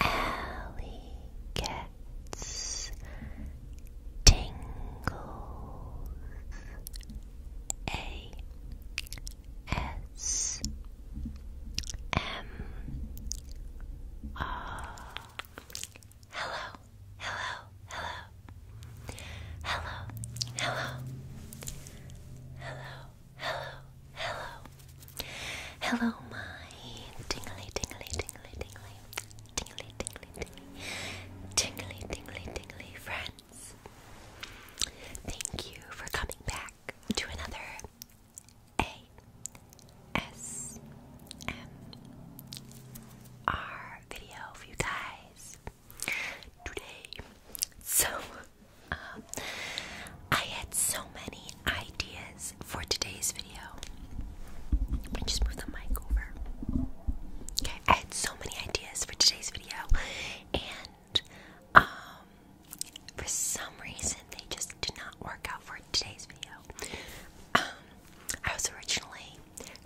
Alley gets tingles. A S M R. Hello, hello, hello, hello, hello, hello, hello, hello, Hello, my tingly, tingly, tingly, tingly, tingly, tingly, tingly, tingly, tingly, tingly friends. Thank you for coming back to another ASMR video for you guys today. So, um, I had so many ideas for today's video. just move the mic over. Okay, I had so many ideas for today's video, and um, for some reason they just did not work out for today's video. Um, I was originally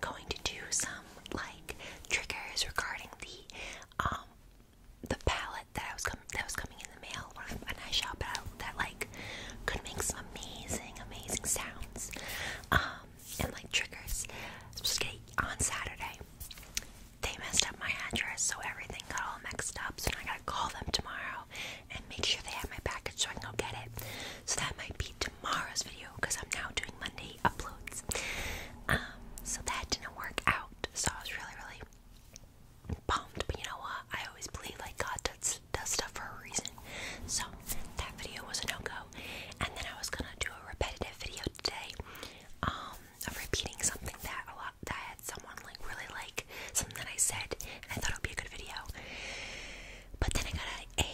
going to do some like triggers regarding the um the palette that I was that was coming in the mail, one of an eye shop that like could make some amazing, amazing sounds, um, and like triggers. Skate on Saturday. They messed up my address, so everything got all mixed up. So I gotta call them tomorrow and make sure they have my package so I can go get it. So that might be tomorrow's video because I'm now doing Monday uploads. Um, so that didn't work out. So I was really, really bummed, but you know what? I always believe like God does, does stuff for a reason. So that video was a no go. And then I was gonna do a repetitive video today, um, of repeating something that a lot that I had someone like really liked something that I said, and I thought it would be a good video. But then I got a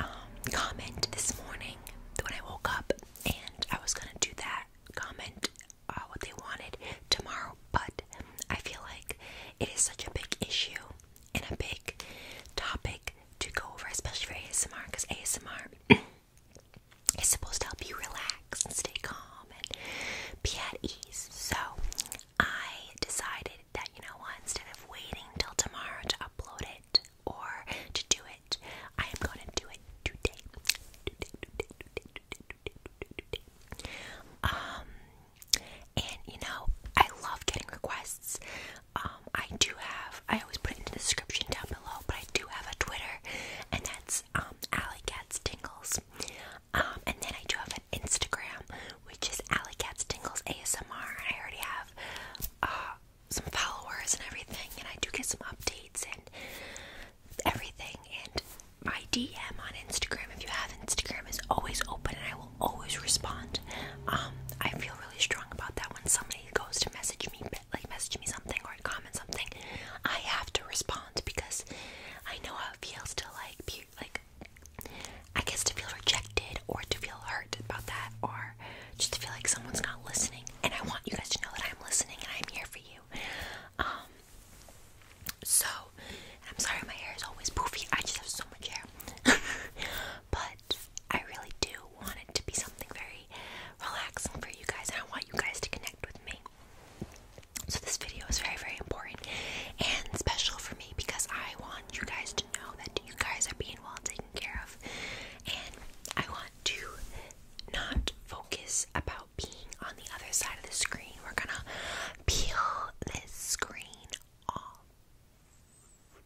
um, comment this morning when I woke up, and I was gonna do that comment uh, what they wanted tomorrow, but I feel like it is such a big issue and a big topic to go over, especially for ASMR, because ASMR is supposed to help you relax and stay calm and be at ease. So I decided that, you know what, instead of waiting till tomorrow to upload it or to do it, I am going to do it today, um, and you know, I love getting requests. Um, I do have, I always put it in the description down below, but I do have a Twitter, and that's um, Cats Tingles. Um, and then I do have an Instagram, which is Cats Tingles ASMR, and I already have uh, some followers and everything, and I do get some updates and everything. And my DM on Instagram, if you have Instagram, is always open and I will always respond. Um, I feel really strong about that when somebody goes to message me, like message me something or comment something, I have to respond because I know how it feels to like be like. I guess to feel rejected or to feel hurt about that or just to feel like someone's not listening. And I want you guys to know that I'm listening and I'm here for you. Um, so, I'm sorry my hair is always poofy. I just have so much hair. but I really do want it to be something very relaxing for you guys, and I want you guys to connect with me. So, this video is very, very important and special for me because I want you guys to know that you guys are being well taken care of, and I want to not focus about being on the other side of the screen. We're gonna peel this screen off.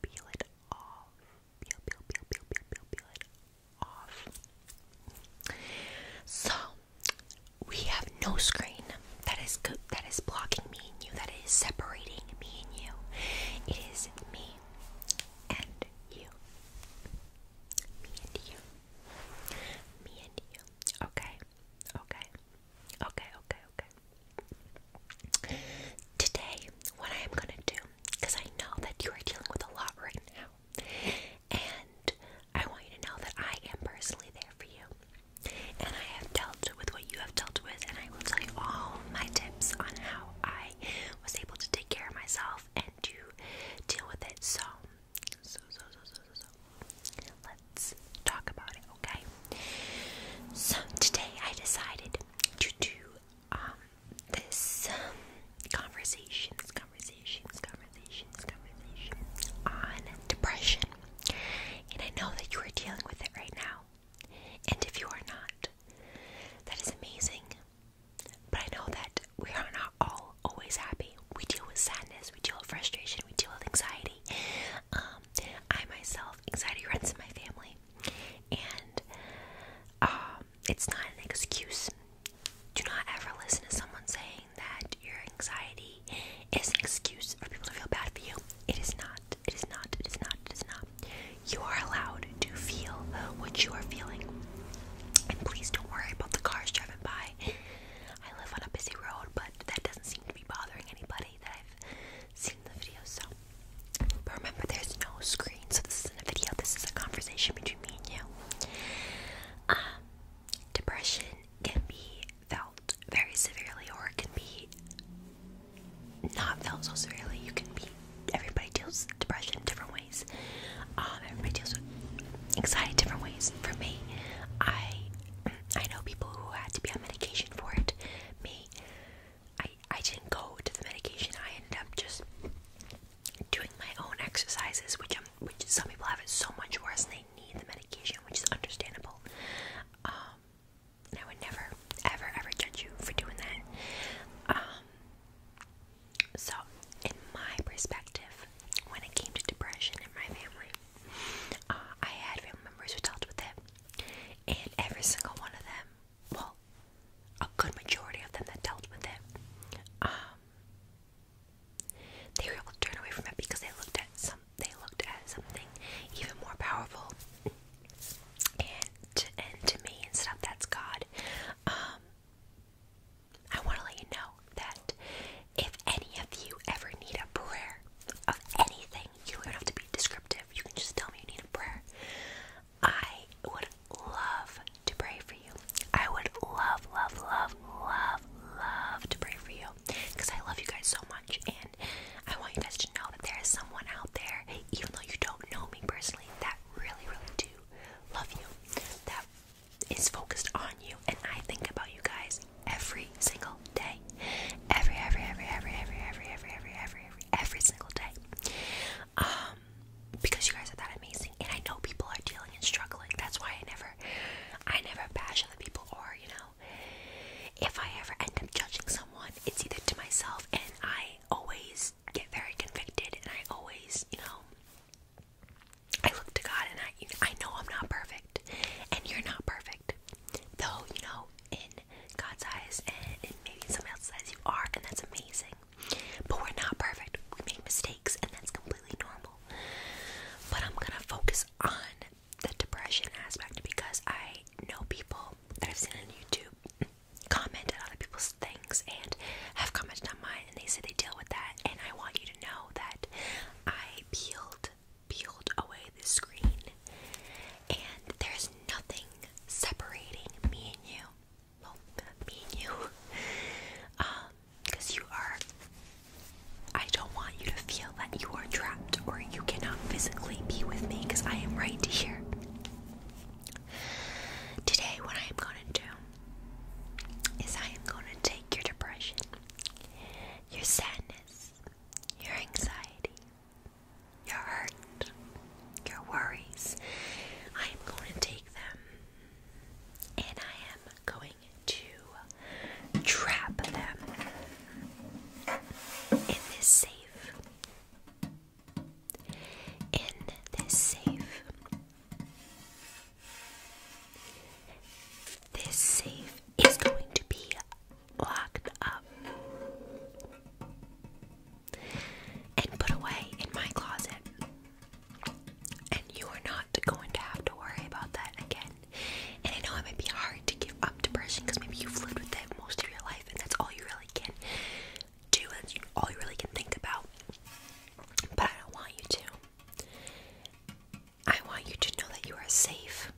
Peel it off. Peel, peel, peel, peel, peel, peel, it off. So we have no screen that is that is blocking me and you, that is separating me and you. It is me and you. Me and you. Me and you. Okay. Okay. Okay, okay, okay. Today, what I am gonna do, because I know that you are dealing with a lot right now, and I want you to know that I am personally there for you. And I have dealt with what you have dealt with, and I will tell you all my tips on how I was able to take care of myself and to deal with it. So, so, so, so, so, so, so, let's talk about it, okay? So, today I decided to do, um, this, um, conversations, conversations, conversations, conversations on depression. And I know that you are dealing with it right now. And if you are not, that is amazing. But I know that we are not all always happy. We deal with sadness, we deal with frustration, we deal with anxiety. Um, I myself, anxiety runs in my family, and um, it's not an excuse. Do not ever listen to someone saying that your anxiety is an excuse for people to feel bad for you. It is not. It is not. It is not. It is not. You are allowed to feel what you are feeling. And please don't worry about the cars driving by. I live on a busy road, but that doesn't seem to be bothering anybody that I've seen the video. So, remember, there's no screen, so this is a video. This is a conversation between me and you. Um, depression can be felt very severely, or it can be not felt so severely. You can be everybody deals with depression in different um, everybody deals with anxiety different ways. For me, I I know people who had to be on medication for it. Me, I I didn't go to the medication. I ended up just doing my own exercises, which i which some people have it so much worse and they need the medication, which is understandable. Um, I would never, ever, ever judge you for doing that. Um, so, in my perspective, when it came to depression in my family, uh, I had family members who dealt with it, and every single one of them, well, a good majority of them that dealt with it, um, they were able to turn away from it because they looked at some, they looked at something even more powerful, and to, and to me and stuff that's God, um, I want to let you know that if any of you ever need a prayer of anything, you don't have to be descriptive, you can just tell me you need a prayer. I would love to pray for you. I would love, love, love, love, love to pray for you because I love you guys so much and I want you guys to know that there is someone out there, even though you don't know me personally, that really, really do love you. That is focused on you and I think about you guys every single day. Every every every every every every every every every every every single day. Um because you guys are that amazing and I know people are dealing and struggling. That's why I never I never bash other people or, you know, if I ever end up judging someone, it's either to myself and I always get very convicted and I always, you know, I look to God and I, know, I am not perfect, and you're not perfect. Though, you know, in God's eyes and maybe somebody else's eyes, you are, and that's amazing. But we're not perfect. We make mistakes, and that's completely normal. But I'm gonna focus on the depression aspect because I know people that I've seen on YouTube comment on other people's thing and have commented on mine and they said they deal with that and I want you to know that I peeled peeled away the screen and there's nothing separating me and you. Well, me and you. because um, you are I don't want you to feel that you are trapped or you cannot physically be with me because I am right here. Today, what I am going to do is I am going to take your depression, your sadness, your anxiety, your hurt, your worries. I am going to take them and I am going to trap them in this safe. In this safe. This safe is going to be locked up and put away in my closet. And you are not going to have to worry about that again. And I know it might be hard to give up depression because maybe you've lived with it most of your life and that's all you really can do, that's all you really can think about. But I don't want you to. I want you to know that you are safe.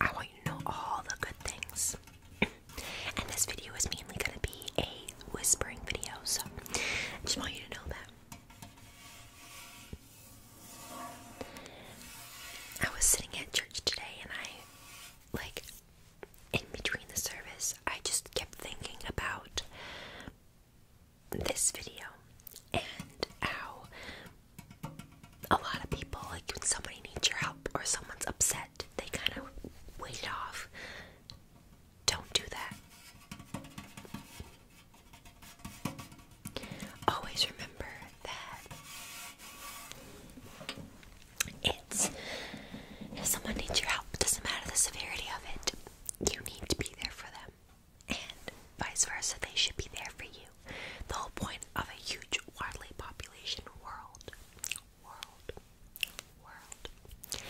I want you to know all the good things. and this video is mainly going to be a whispering video, so I just want you to know that. I was sitting at church today and I, like, in between the service, I just kept thinking about this video and how a lot of people, like when somebody needs your help or someone's upset, they kind of wait it off. Don't do that. Always remember that it's if someone needs your help, it doesn't matter the severity of it, you need to be there for them, and vice versa, they should be there for you. The whole point of a huge, widely population world, world, world,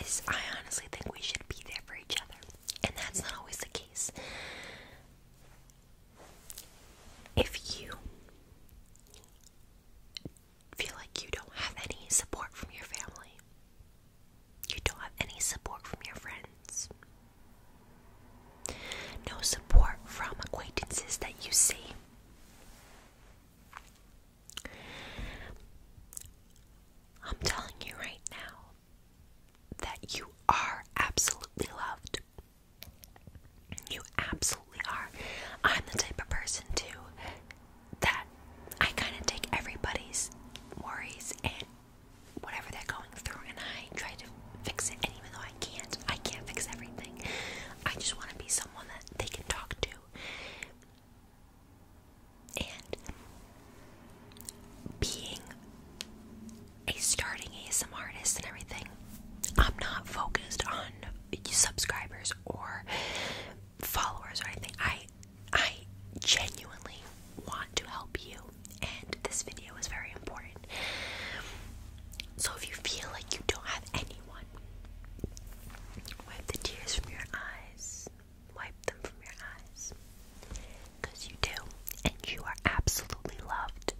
is I honestly think we should be there for each other, and that's not always the case. If you feel like you don't have any support from your family. You don't have any support from your friends. No support from acquaintances that you see. I'm telling you right now that you are absolutely loved. You absolutely are. I'm the type of person too that I kind of take everybody's worries and whatever they're going through and I try to fix it. And even though I can't, I can't fix everything. I just want to be someone that they can talk to. And being a starting ASM artist and everything, I'm not focused on subscribers or followers or anything. I I genuinely want to help you, and this video is very important. So, if you feel like you don't have anyone, wipe the tears from your eyes, wipe them from your eyes because you do, and you are absolutely loved.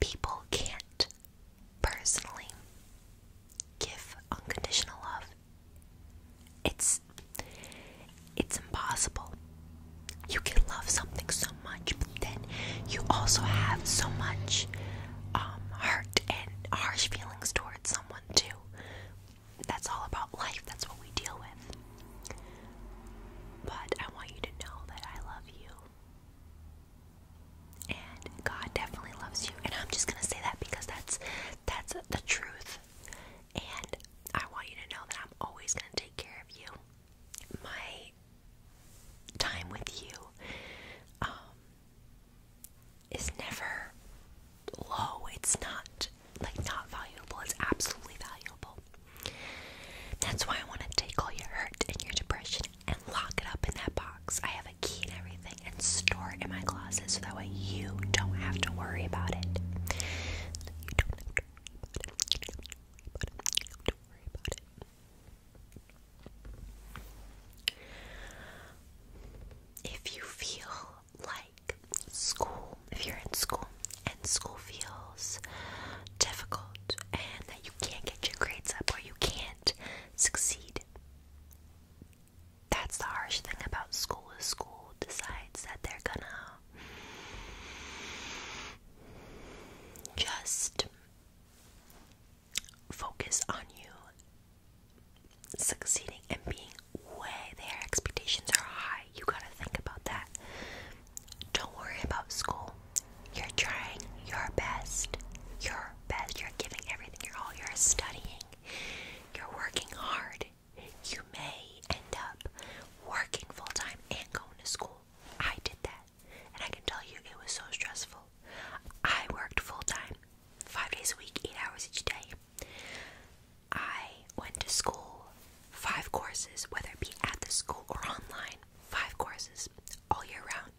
People can't personally. Give unconditional love. It's it's impossible. You can love something so much, but then you also have so much um, hurt and harsh feelings towards someone too. That's all about life. That's what we deal with. But I want you to know that I love you. And God definitely loves you. And I'm just going to say that because that's that's the truth. And I want you to know that I'm always going to take care of you. My time with you um, is never low. It's not like not valuable. It's absolutely valuable. That's why I want to take all your hurt and your depression and lock it up in that box. I have a key and everything, and store it in my closet so that way you don't have to worry about it. You don't have to worry about it. If you feel like school, if you're in school and school feels difficult and that you can't get your grades up or you can't succeed that's the harsh thing about school is school decides that they're gonna just focus on you succeeding and being way their expectations are high. You gotta think about that. Don't worry about school. You're trying your best. Your best. You're giving everything you're all. You're studying. You're working hard. You may end up working full time and going to school. I did that. And I can tell you it was so stressful. I worked full time, five days a week, eight hours each day. I went to school, five courses, whether it be at the school or online, five courses all year round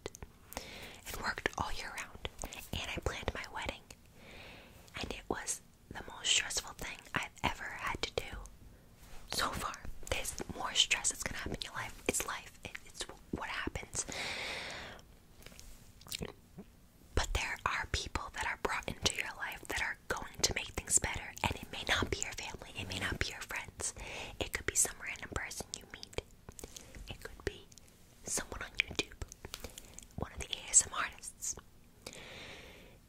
and worked all year round. And I planned my wedding. And it was the most stressful thing I've ever had to do so far. There's more stress that's gonna happen in your life. It's life, it, it's what happens. But there are people that are brought into your life that are going to make things better, and it may not be your family, it may not be your friends, it could be some random person you meet. It could be someone on YouTube, one of the ASM artists.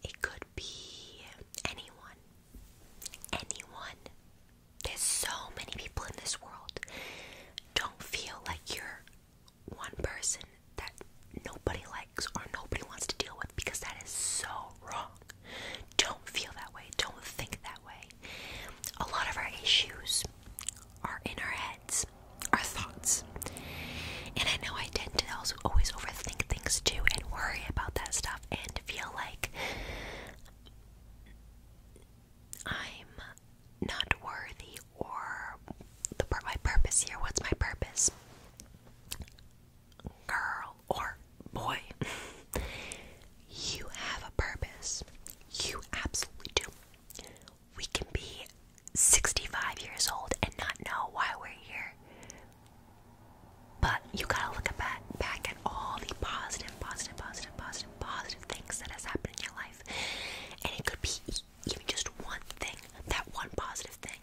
It could be anyone. Anyone. There's so many people in this world. Don't feel like you're one person that nobody likes or nobody wants to deal with because that is so wrong. Don't feel that way. Don't think that way. A lot of our issues are in our heads, our thoughts. And I know I tend to always overthink things too and worry about that stuff and feel like I'm not worthy or the my purpose here. What's my purpose? Girl or boy. You have a purpose. You absolutely do. We can be 65 years old and not know why we're here. But you gotta look back, back at all the positive, positive, positive, positive, positive things that has happened in your life. And it could be even just one thing, that one positive thing.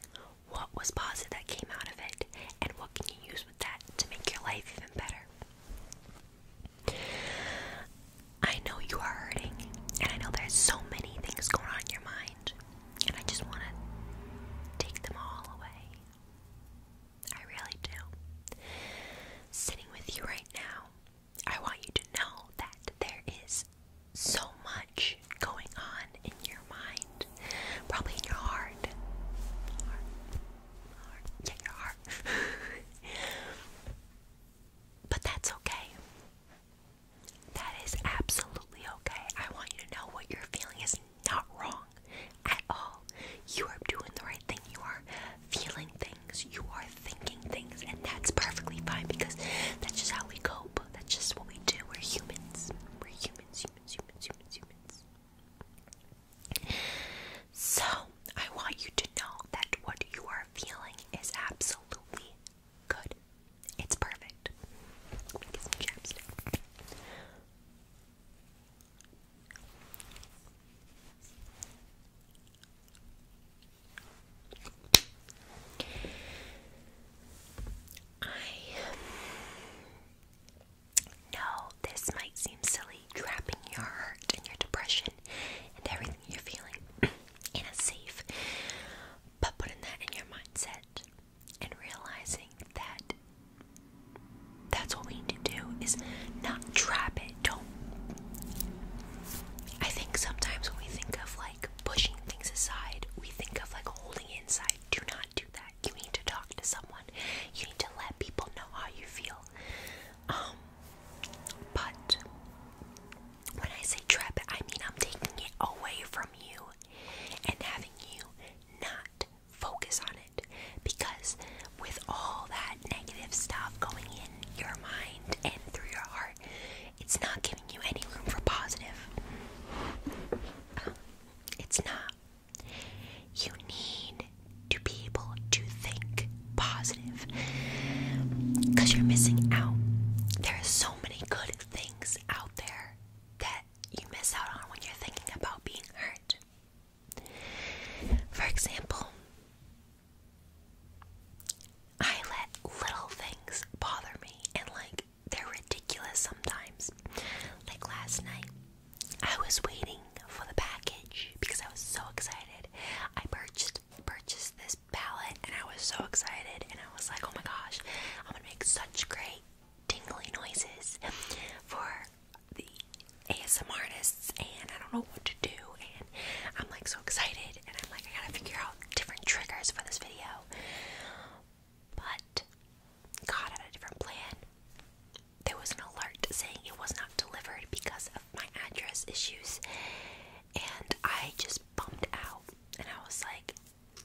What was positive that came out of it? And what can you use with that to make your life even better? I know you are hurting, and I know there's so many things going on in your mind, and I just want to take them all away. I really do. Sitting with you right now, I want you to know that there is so much going on in your mind, probably in your heart. but that's okay. That is absolutely okay. I want you to know what you're feeling is not wrong at all. You are doing the right thing. You are feeling things. You are thinking things. And that's perfectly fine because that's just how we cope. That's just what we do. We're humans. We're humans, humans, humans, humans, humans. So, I want you to know that what you are feeling is absolutely good. It's perfect. Let me get some chapstick. I no, this might seem silly, trapping your hurt and your depression and everything you're feeling in a safe. But putting that in your mindset and realizing that that's what we need to do is not trap it. Don't. I think sometimes when we think of like pushing things aside, we think of like holding inside. Do not do that. You need to talk to someone. You need to let people know how you feel. Um, but when I say trap, I mean I'm taking it away from you and having you not focus on it. Because with all that negative stuff going in your mind and through your heart, it's not giving you any room for positive. It's not. You need to be able to think positive because you're missing out. There are so many good things out there that you miss out on when you're thinking about being hurt. For example, I let little things bother me and like they're ridiculous sometimes. Like last night, I was waiting for the package because I was so excited. I purchased purchased this palette and I was so excited and I was like, "Oh my gosh, I'm going to make such great tingly noises for the ASMR artists and I don't know what to do." And I'm like so excited and I'm like I got to figure out different triggers for this video. But God had a different plan there was an alert saying it was not delivered because of my address issues, and I just bummed out. And I was like,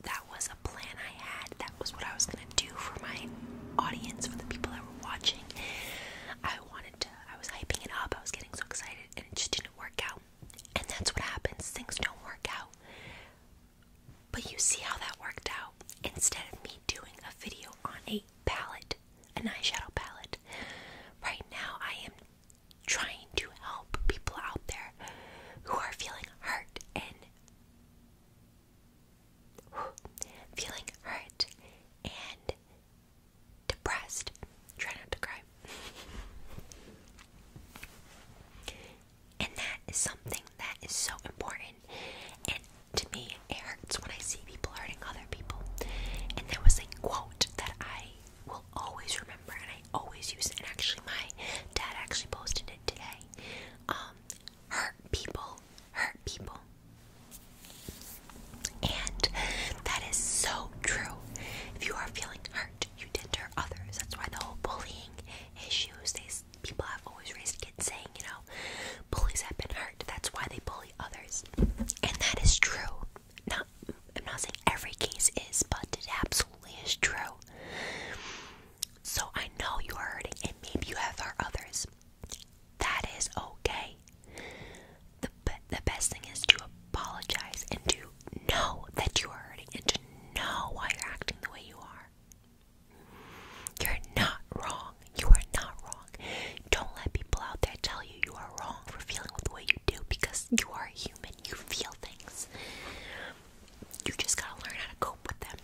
that was a plan I had, that was what I was gonna do for my audience, for the people that were watching. I wanted to, I was hyping it up, I was getting so excited, and it just didn't work out. And that's what happens, things don't work out. But you see how that worked out. Instead of me doing a video on a palette, an eyeshadow palette. Right now, I am trying to help people out there who are feeling hurt and feeling hurt and depressed. Try not to cry. and that is something that is so important to me, it hurts when I see people hurting other people. And there was a quote that I will always remember and I always use And actually, my dad actually posted it today. Um, hurt people, hurt people. And that is so true. If you are feeling hurt, you did to others. That's why the whole bullying issues, these people have always raised kids saying, you know, bullies have been hurt. That's why they bully others. And that is true. Not I'm not saying every case is, but it absolutely is true. So I know you are hurting and maybe you have hurt others. That is okay. The the best thing is to apologize and to know that you are hurting and to know why you're acting the way you are. You're not wrong. You are not wrong. Don't let people out there tell you you are wrong for feeling the way you do because you are human. You feel things. You just gotta learn how to cope with them.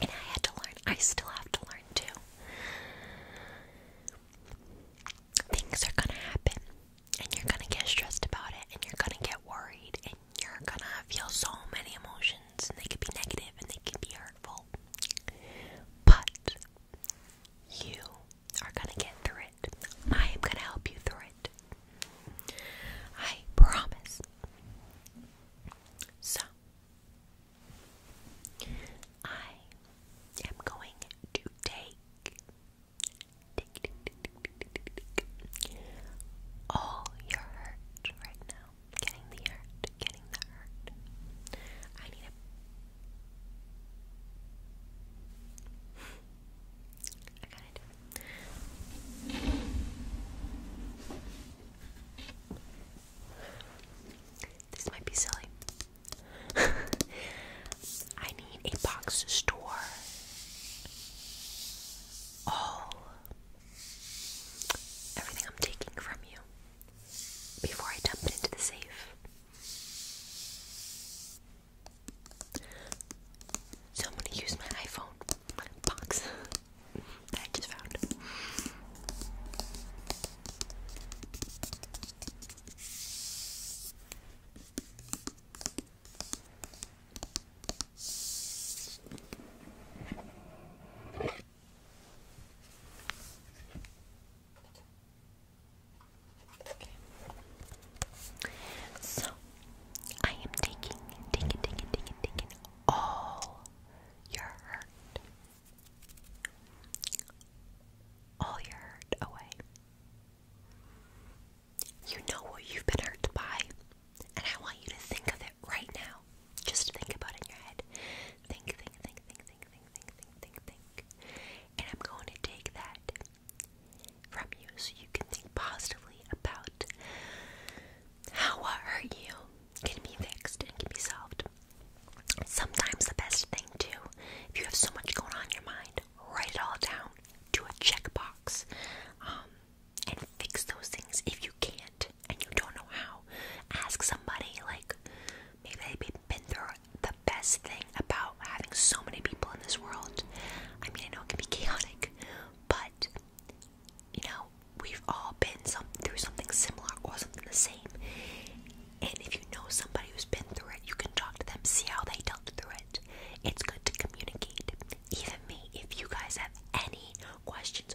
And I had to learn. I still have to learn too. Things are gonna happen, and you're gonna get stressed about it, and you're gonna get worried, and you're gonna feel so many emotions and they can be negative and they can be hurtful. But you are going to get through it. I am going to help you through it. I promise. So, I am going to take, take all your hurt right now getting the hurt, getting the hurt. I need a. I gotta do This might be silly. I need a box to store all everything I'm taking from you before I dump it into the safe. So I'm gonna use my iPhone box that I just found. So I am taking, taking, taking, taking, taking all your hurt, all your hurt away. You know what you've been hurt by, and I want you to think of it right now. Just think about it in your head. Think, think, think, think, think, think, think, think, think, And I'm going to take that from you so you can think positively about how what hurt you can be fixed and can be solved. Sometimes the best thing too, if you have so much going on your mind, write it all down. Do a checkbox. Um fix those things if you can't and you don't know how. Ask somebody, like, maybe they've been through the best thing about having so many people in this world. I mean, I know it can be chaotic, but you know, we've all been some, through something similar or something the same. And if you know somebody who's been through it, you can talk to them, see how they dealt through it. It's good to communicate. Even me, if you guys have any questions,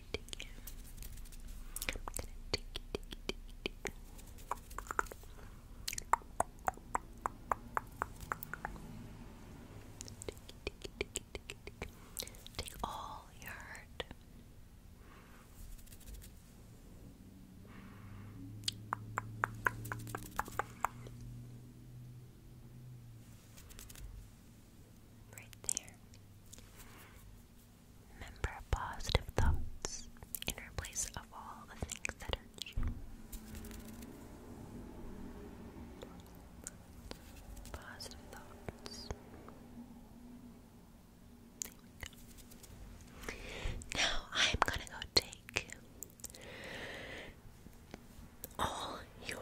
take you. take you, take you, take you, take you. Take you, you, take you, Right there. Remember positive thoughts in place of all the things that hurt you. Positive thoughts. Now I'm gonna go take all your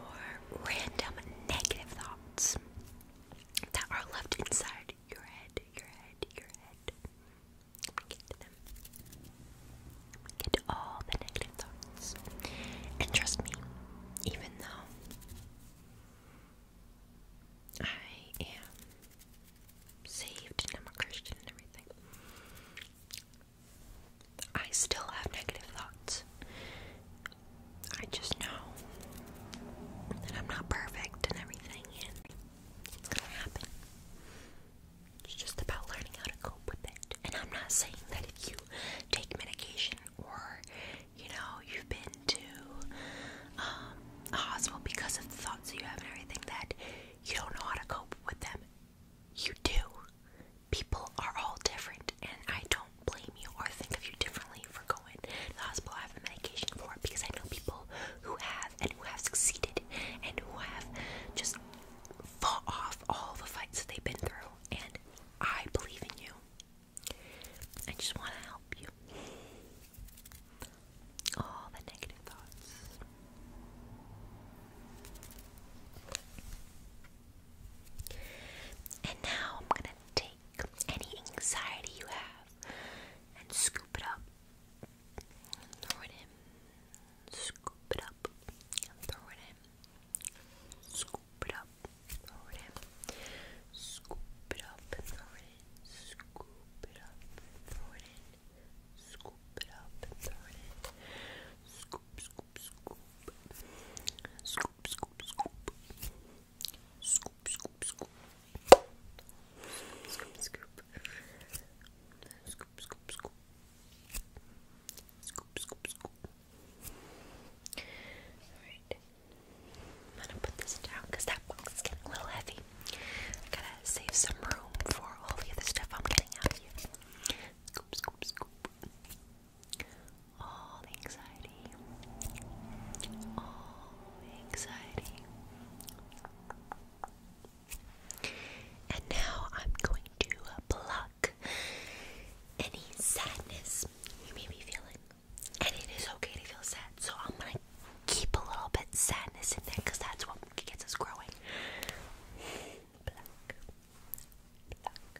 random negative thoughts that are left inside your head, your head, your head. Get them. Get all the negative thoughts. And trust me, even though I am saved and I'm a Christian and everything, I still have negative thoughts. I just know that I'm not perfect and everything, and it's gonna happen. It's just about learning how to cope with it. And I'm not saying that if you take medication or, you know, you've been to um, a hospital because of the thoughts that you have and everything, that you don't know how to cope with them. You do. People are all different, and I don't don't blame you or think of you differently for going to the hospital. I have a medication for it because I know people who have and who have succeeded and who have just fought off all the fights that they've been through. And I believe in you. I just want to help you. All the negative thoughts. And now I'm going to take take any anxiety you have and scoop it up and throw it in. Scoop it up and throw it in. Scoop it up, throw it in. Scoop it up and throw it in. Scoop it up and throw it in. Scoop it up and throw it in. Scoop, scoop, scoop. Scoop, scoop, scoop. Scoop, scoop, scoop. Scoop, scoop. Scoop, scoop, scoop. Scoop, scoop, scoop. Alright. I'm gonna put this down because that box is getting a little heavy. I gotta save some room for all the other stuff I'm getting out of you. Scoop, scoop, scoop. Scoop, all anxiety, all anxiety. And now I'm going to pluck any sadness you may be feeling. And it is okay to feel sad, so I'm gonna keep a little bit sadness in there because that's what gets us growing. Pluck, pluck,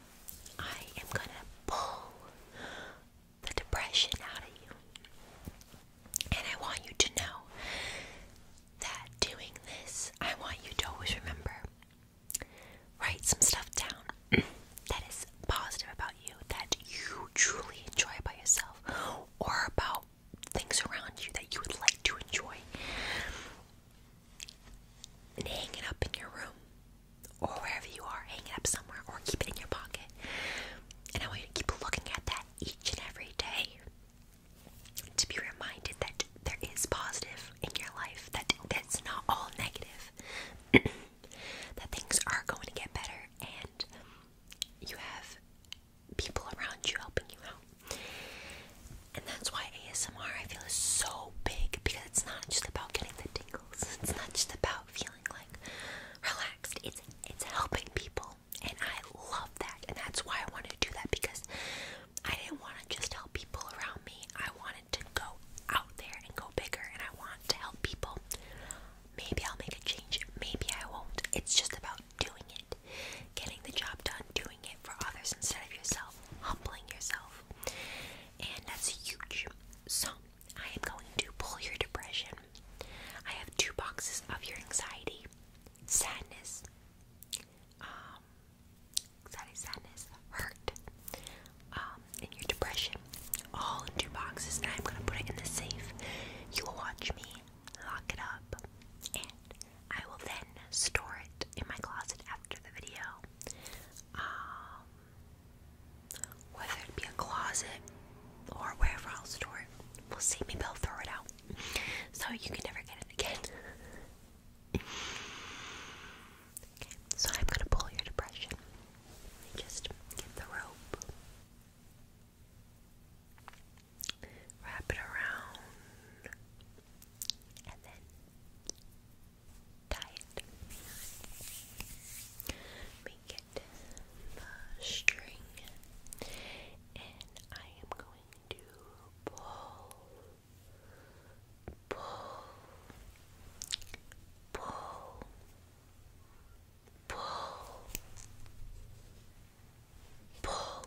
I am gonna pull the depression out of you. And I want you to know that doing this, I want you to always remember write some stuff down that is positive about you, that you truly enjoy by yourself, or about things around you that you would like to enjoy. And hang it up in your room or wherever you are, hang it up somewhere, or keep it in your pocket. And I want you to keep looking at that each and every day to be reminded that there is positive in your life, that that's not all negative, that things are going to get better, and you have people around you helping you out. And that's why ASMR I feel is so big because it's not just about getting the tingles. It's not just about feeling like relaxed. It's it's helping people, and I love that. And that's why I want to do that because I didn't want to just help people around me. I wanted to go out there and go bigger, and I want to help people. Maybe I'll make a change. Maybe I won't. It's just about doing it, getting the job done, doing it for others instead of yourself, humbling yourself and that's huge. So, I am going to pull your depression. I have two boxes of your anxiety, sadness, um, anxiety, sadness, hurt, um, and your depression, all in two boxes, and I'm gonna put it in the safe. You will watch me lock it up, and I will then store it in my closet after the video. Um, whether it be a closet or wherever i store it, will see. Maybe I'll throw it out so you can never get it again. so I'm gonna pull your depression. Just get the rope, wrap it around, and then tight. We get the string, and I am going to pull, pull, pull, pull, pull, pull.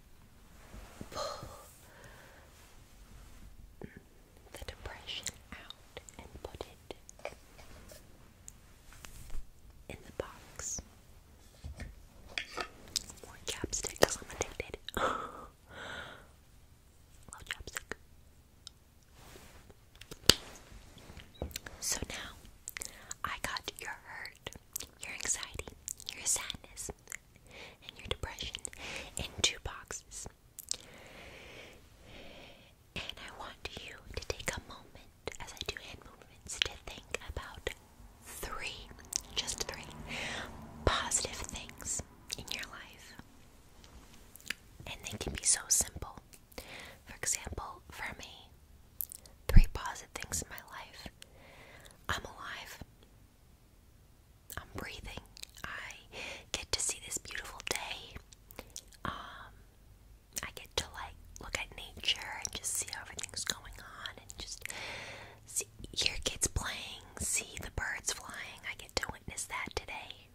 pull the depression out and put it in the box. More chapstick because I'm addicted. Love chapstick. So now I got your hurt, your anxiety, your sadness, and your depression in two boxes. And I want you to take a moment as I do hand movements to think about three, just three, positive things in your life. And they can be so simple. For example, for me, three positive things in my life I'm alive. I'm breathing. I get to see this beautiful day. Um, I get to like look at nature and just see how everything's going on and just see your kids playing, see the birds flying. I get to witness that today.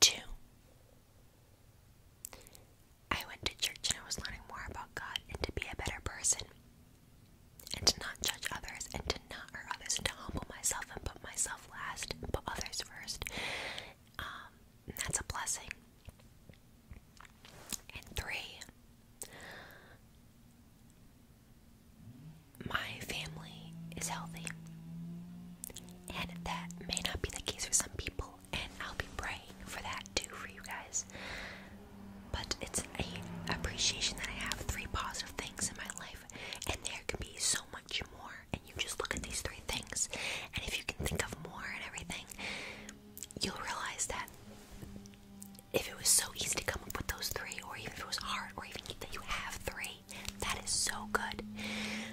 Two. I went to church and I was learning more about God and to be a better person and to not judge others and to not hurt others and to humble myself and put myself last and put others first. Um, that's a blessing. And three, my family is healthy. And that may not be the case for some people and I'll be praying for that too for you guys. But it's a appreciation that I have three positive things in my life, and there can be so much more. And you just look at these three things, and if you can think of more and everything, you'll realize that if it was so easy to come up with those three, or even if it was hard, or even that you have three, that is so good.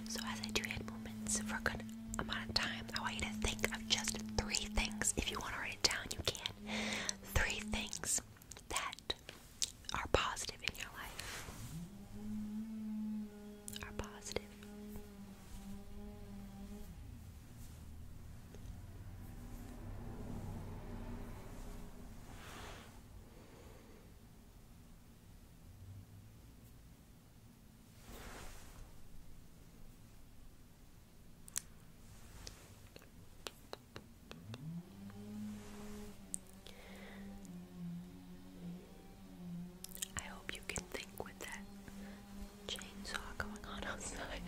So as I do hand moments for are going amount of time. I want you to think of just three things. If you want to write it down, you can. Three things that are positive in your life. Are positive. I hope you can think with that chainsaw going on outside.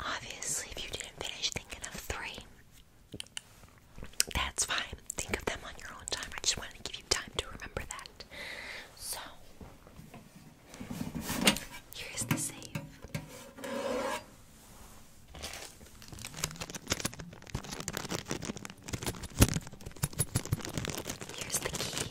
Obviously, if you didn't finish thinking of three, that's fine. Think of them on your own time. I just wanted to give you time to remember that. So, here's the save. Here's the key.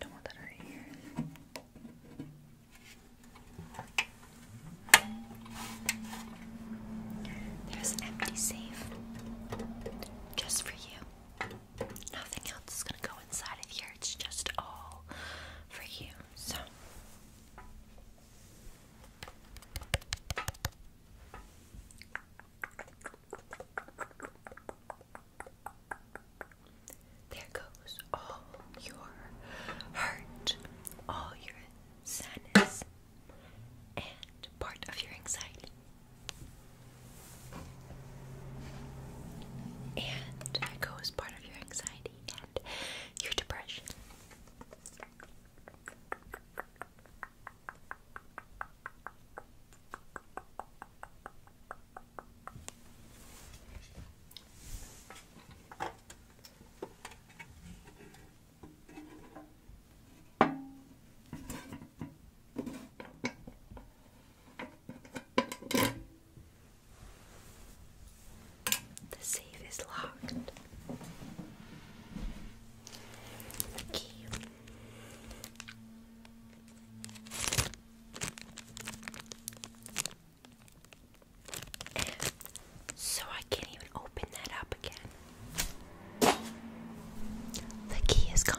Don't want that right here. There's an empty safe just for you. Nothing else is gonna go inside of here. It's just all for you. So there goes all your hurt, all your sadness, and part of your anxiety. And there goes part of your anxiety and your depression. The safe is locked. The key. So I can't even open that up again. The key is gone.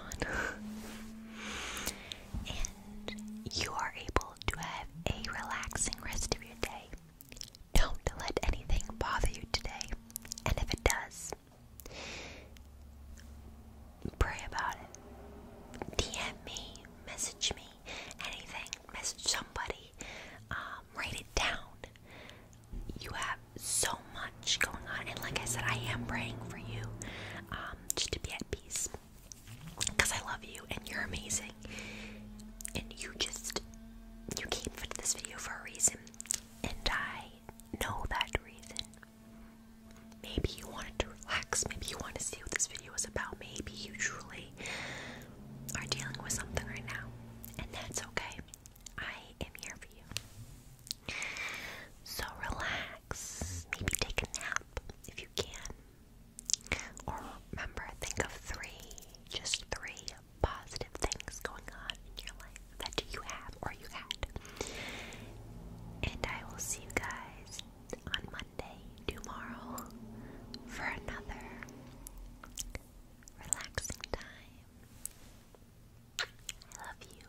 and you are able able to have a relaxing rest of your day. Don't let anything bother you today, and if it does, pray about it. DM me, message me, anything, message somebody, um, write it down. You have so much going on, and like I said, I am praying for you um, just to be at peace. Because I love you and you're amazing. And you just, you came for this video for a reason. And I know that reason. Maybe you wanted to relax. Maybe you want to see what this video is about. Maybe you truly are dealing with something right now. And that's okay. I am here for you. So relax. Maybe take a nap up if you can. Or remember, think of three, just three positive things going on in your life that you have or you had. And I will see you guys on Monday, tomorrow, for another relaxing time. I love you.